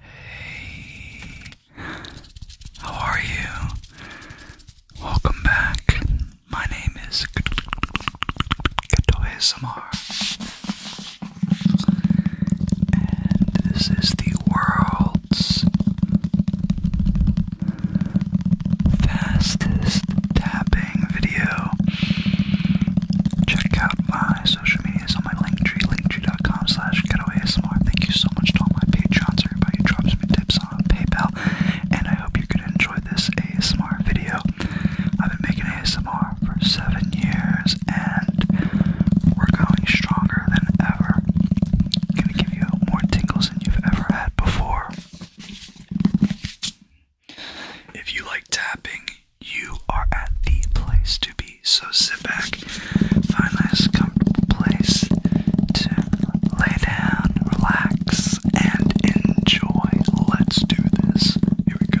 Hey, how are you? Welcome back. My name is Kato and this is the world's fastest tapping video. Check out my social medias on my Linktree, linktree.com slash getoasmr. Thank you so much to all my patrons, everybody who drops me tips on PayPal, and I hope you're going to enjoy this ASMR video. I've been making ASMR for seven years, and we're going stronger than ever. going to give you more tingles than you've ever had before. If you like tapping, you are at the place to be. So sit back, find a nice comfortable place to lay down, relax, and enjoy. Let's do this. Here we go.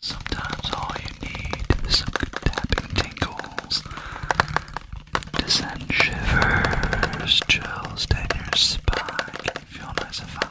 Sometimes all you need is some good tapping tingles to send shivers, chills down your spine. Can feel nice and fun,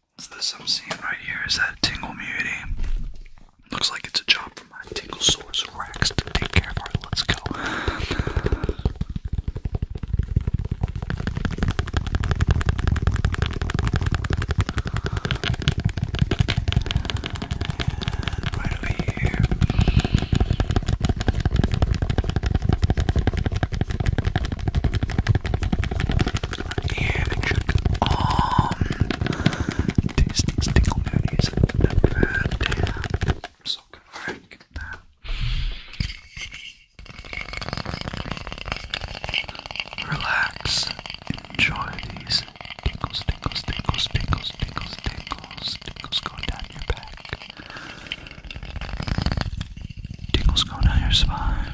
So this I'm seeing right here is that Tingle Mutiny. Looks like it's a job for my Tingle Source Rex to take care of. let's go. right over here ear and should arm. Disney's tingle nonies and sock rank that. Relax, enjoy these tingles, tingles, tingles, tingles, tingles, tingles, tingles going down your back, tingles going down your spine,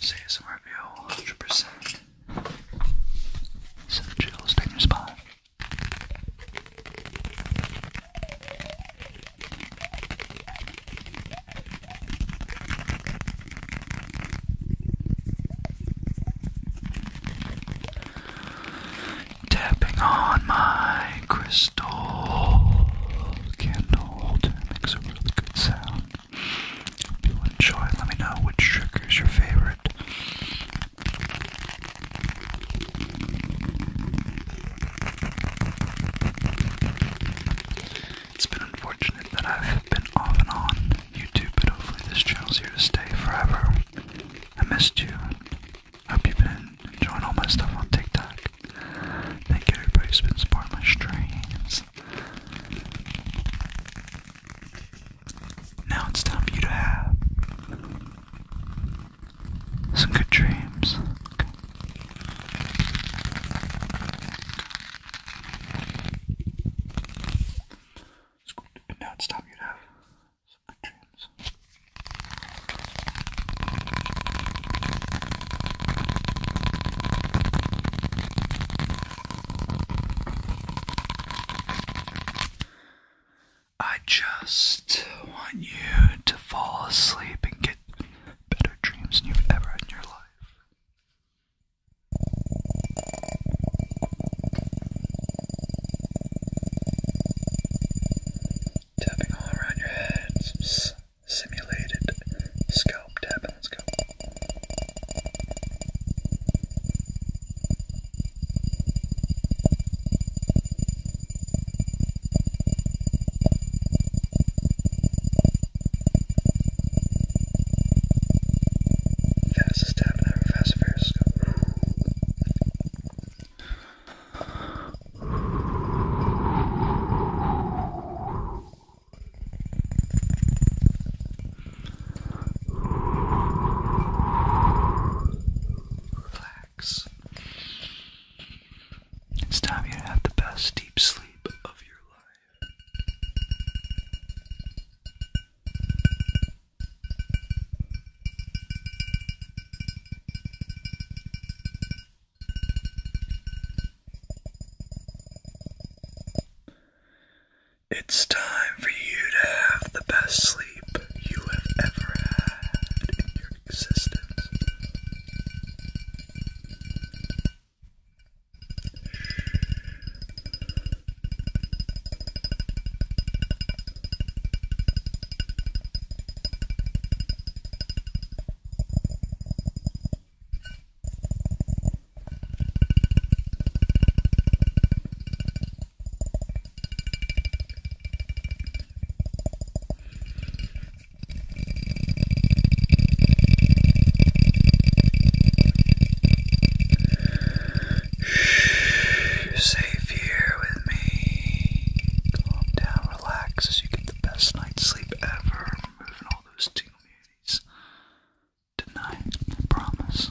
Say some review, 100%. Some chills down your spine. Tapping on my crystal candle to makes a really good sound. If you enjoy, let me know which trigger is your favorite. It's been unfortunate that I've been off and on YouTube, but hopefully this channel's here to stay forever. I missed you. Hope you've been enjoying all my stuff on TikTok. Thank you everybody who's been supporting my streams. Now it's time for you to have some good dreams. now it's time you to have some good dreams. I just want you to fall asleep and get better dreams than you've ever had in your life. Tapping all around your head, simulated scalp tapping. Let's go. Fastest tapping ever, fast fairs go. Relax. It's time you have the best deep sleep of your life. Relax. It's time for you to have the best sleep you have ever had in your existence. Shh, you're safe here with me. Calm down, relax as you can best night's sleep ever. Removing all those tingle muties tonight, promise.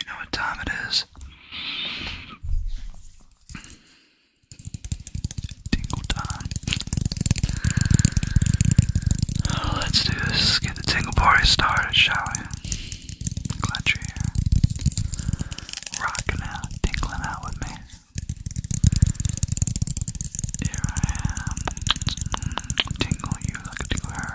You know what time it is? Tingle time. let's do this. get the tingle party started, shall we? Glad you're here. Rocking out, tingling out with me. Here I am. Tingle you like tingle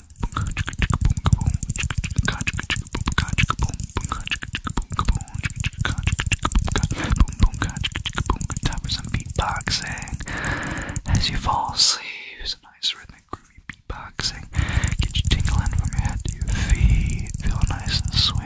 Time for some beatboxing as you fall asleep. It's a nice rhythmic groovy beatboxing. Get you tingling from your head to your feet. Feel nice and sweet.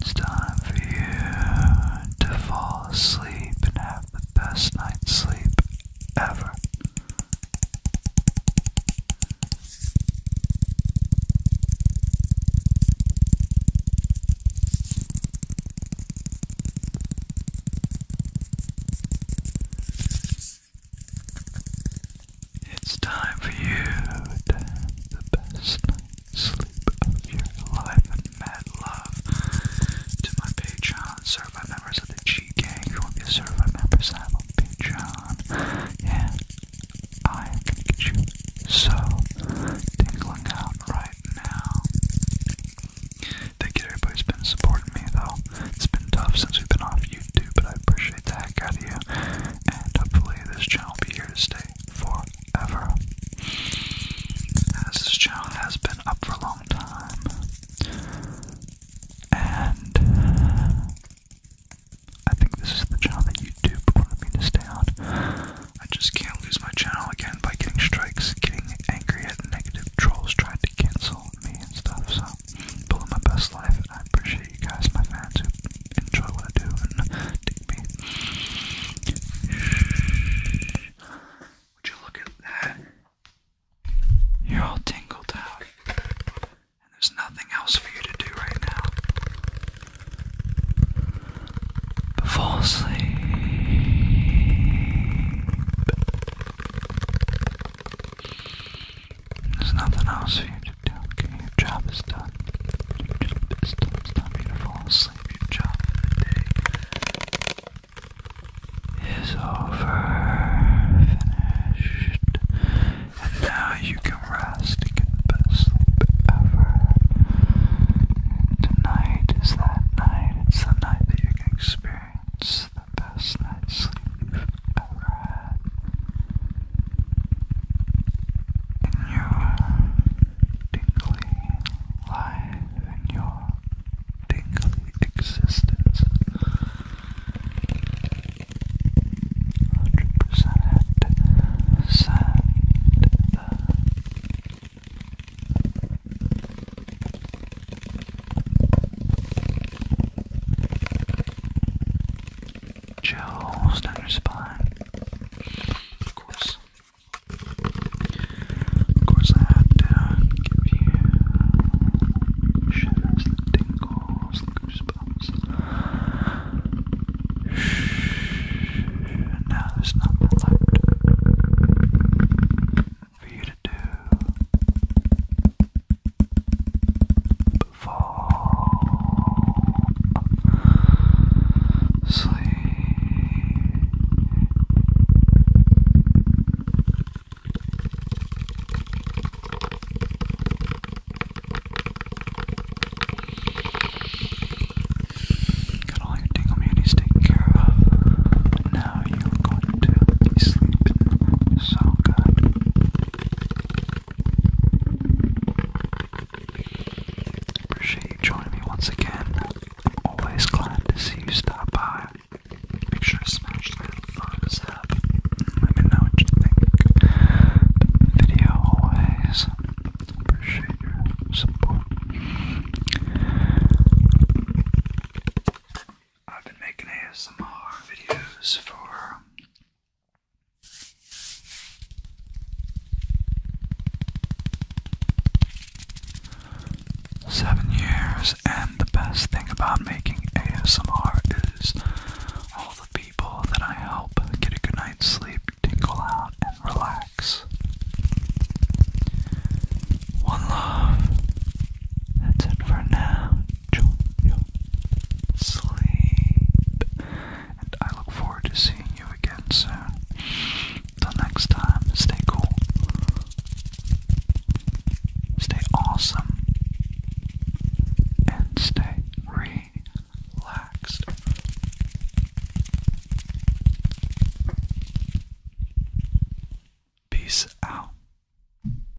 It's time time for you to fall asleep and have the best night's sleep ever. It's time for you to have the best sleep of your life and mad love to my Patreon survey members of the G Gang. If want to be a survey members, I'm on Patreon. And I am get you so tingling out right now. Thank you everybody's been supporting me though. It's been tough since we've been off YouTube, but I appreciate the heck out of you. And hopefully this channel will be here to stay forever. As this channel has been up for a long time, and uh, I think this is the channel that YouTube wanted me to stay on. I just can't lose my channel again by getting strikes, getting angry at negative trolls trying to cancel me and stuff. So, building my best life, and I appreciate you guys, my fans, who enjoy what I do and take me. Would you look at that? You're all tingled out. And there's nothing else for you to do right now. fall asleep. There's nothing else for you to do, Your job is done. Your job is done. It's not for you to fall asleep. Your job of is over. Finished. And now you can rest get the best sleep ever. Tonight is that night. It's the night that you can experience the best night's sleep in your tingly life, in your tingly existence, 100% sand down your spine. Of course. Of course I have to give you shivers, the tingles, the Shh. Now there's nothing left for you to do fall asleep. Got all your tingle taken care of. Now you're going to be so good. Appreciate you joining me once again. Always glad to see you stop by. Make sure to smash that thumbs up. Let me know what you think. Video always. Appreciate your support. I've been making ASMR videos for Seven years, and the best thing about making ASMR is all the people that I help get a good night's sleep, tingle out, and relax. One love. That's it for now enjoy your sleep. And I look forward to seeing you again soon. Till next time, stay cool. Stay awesome. And stay relaxed. Peace out.